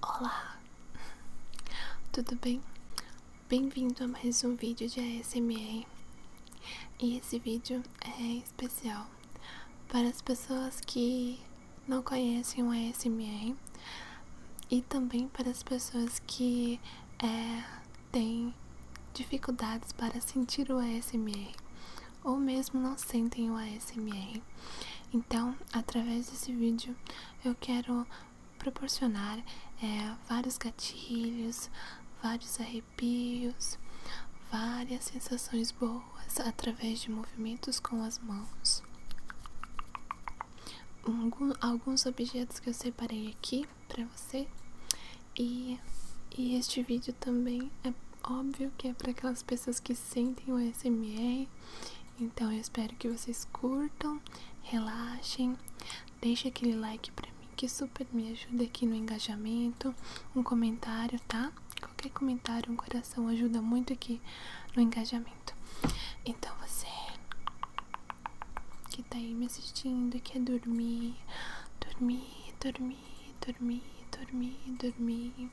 Olá, tudo bem? Bem-vindo a mais um vídeo de ASMR. E esse vídeo é especial para as pessoas que não conhecem o ASMR e também para as pessoas que é, têm dificuldades para sentir o ASMR ou mesmo não sentem o ASMR. Então, através desse vídeo, eu quero proporcionar é, vários gatilhos, vários arrepios arrepios, várias sensações boas através de movimentos com as mãos. Alguns objetos que eu separei aqui para você. E, este vídeo também é óbvio que é para aquelas pessoas que sentem o SMR. Então eu espero que vocês curtam, relaxem, deixe aquele like para mim que super me ajuda aqui no engajamento, um comentário, tá? Qualquer comentário, um coração ajuda muito aqui no engajamento. Então você que tá aí me assistindo e quer dormir, dormir, dormir, dormir, dormir, dormir.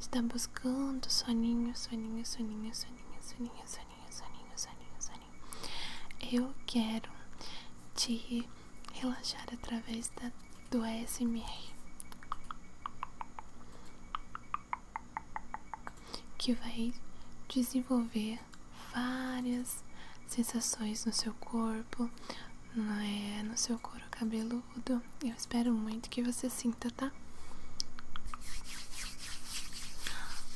Está buscando soninho, soninho, soninho, soninho, soninho, soninho soninho, soninho, soninho, Eu quero te relaxar através da, do ASMR. Que vai desenvolver várias sensações no seu corpo, eh, no seu couro cabeludo. Eu espero muito que você sinta, tá?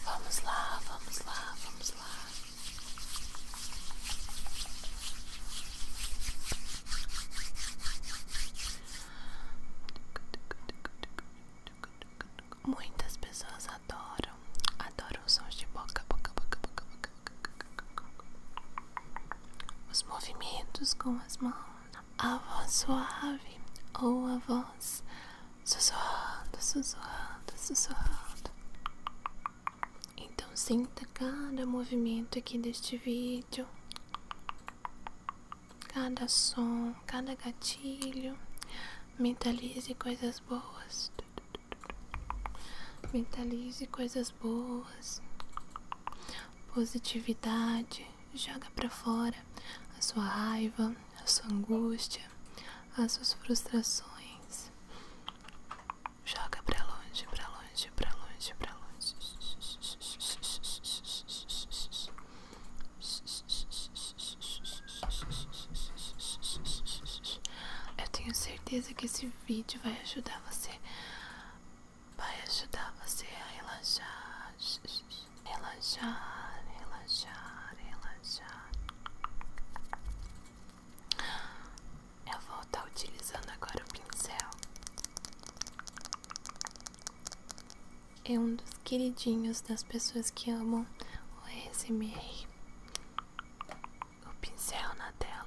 Vamos lá, vamos lá, vamos lá. Muitas pessoas adoram, adoram sons de boca, boca, boca, boca, boca, os movimentos com as mãos, a voz suave ou a voz sussurrado, sussurrado, sussurrado. Então sinta cada movimento aqui deste vídeo, cada som, cada gatilho. Mentalize coisas boas. Mentalize coisas boas. Positividade. Joga para fora a sua raiva, a sua angústia, as suas frustrações. Joga pra longe, pra longe, pra longe, pra longe. Eu tenho certeza que esse vídeo vai ajudar você. Vai ajudar você a relaxar. Relaxar, relaxar, relaxar. Eu vou estar tá utilizando agora o pincel. É um dos queridinhos das pessoas que amam o ASMR. O pincel na tela.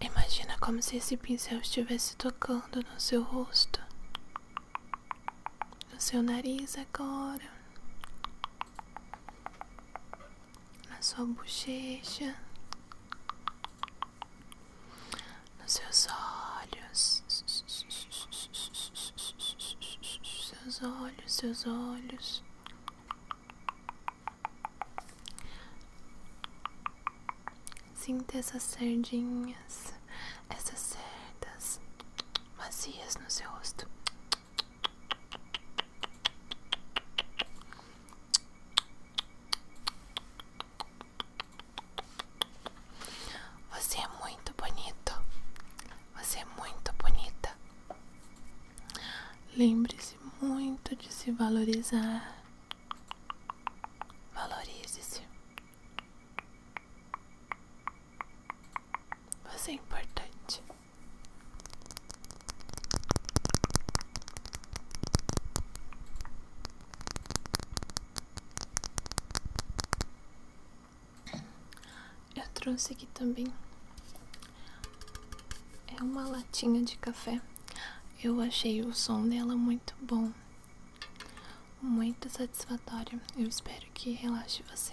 Imagina como se esse pincel estivesse tocando no seu rosto, no seu nariz agora, na sua bochecha, nos seus olhos, seus olhos, seus olhos. Sinta essas cerdinhas, essas cerdas macias no seu rosto. Você é muito bonito. Você é muito bonita. Lembre-se muito de se valorizar. Valorize-se. Você é importante. Eu trouxe aqui também é uma latinha de café. Eu achei o som dela muito bom. Muito satisfatório. Eu espero que relaxe você.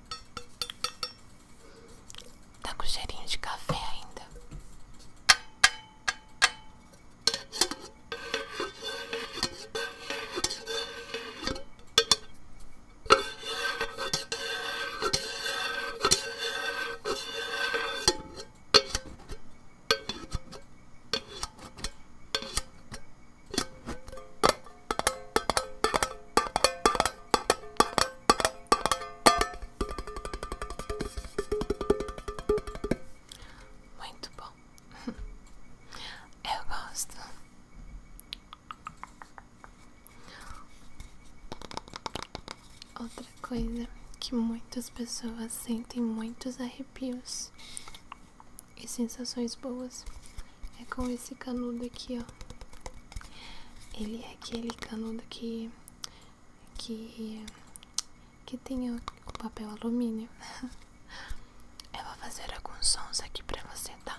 Tá com cheirinho de café ainda. Muito bom, eu gosto. Outra coisa que muitas pessoas sentem muitos arrepios e sensações boas. É com esse canudo aqui, ó. Ele é aquele canudo que que que tem o, o papel alumínio. Eu vou fazer alguns sons aqui pra você, tá?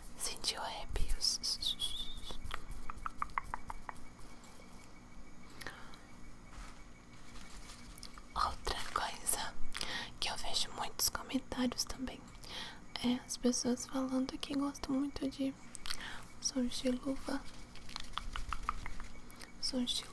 sentiu arrepios. Outra coisa que eu vejo muitos comentários também é as pessoas falando que gostam muito de sons de luva. Sons de luva.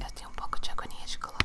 Eu tenho um pouco de agonia de colocar.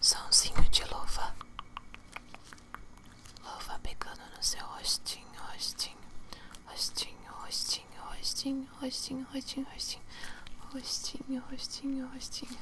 Sãozinho de luva, luva pegando no seu rostinho, rostinho, rostinho, rostinho, rostinho, rostinho, rostinho, rostinho, rostinho, rostinho, rostinho.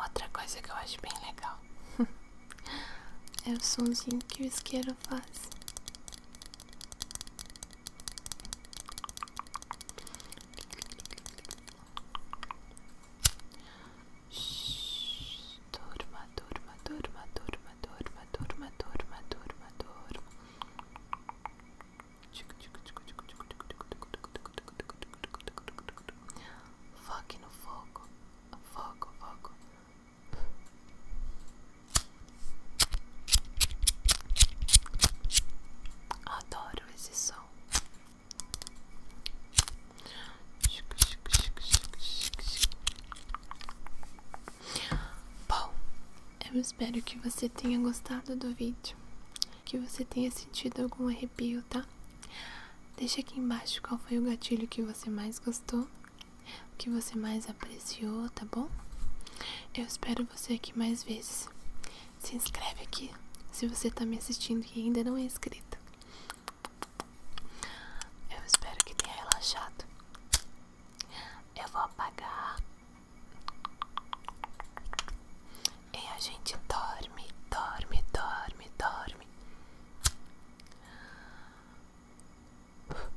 Outra coisa que eu acho bem legal é o somzinho que o isqueiro faz. Shhh. Durma, durma, durma, durma, durma, durma, durma, durma, durma. Foque no fogo, foco, foco, Adoro esse som. Bom, eu espero que você tenha gostado do vídeo, que você tenha sentido algum arrepio, tá? Deixa aqui embaixo qual foi o gatilho que você mais gostou o que você mais apreciou, tá bom? Eu espero você aqui mais vezes. Se inscreve aqui se você tá me assistindo e ainda não é inscrito. Eu espero que tenha relaxado. Eu vou apagar. E a gente dorme, dorme, dorme, dorme.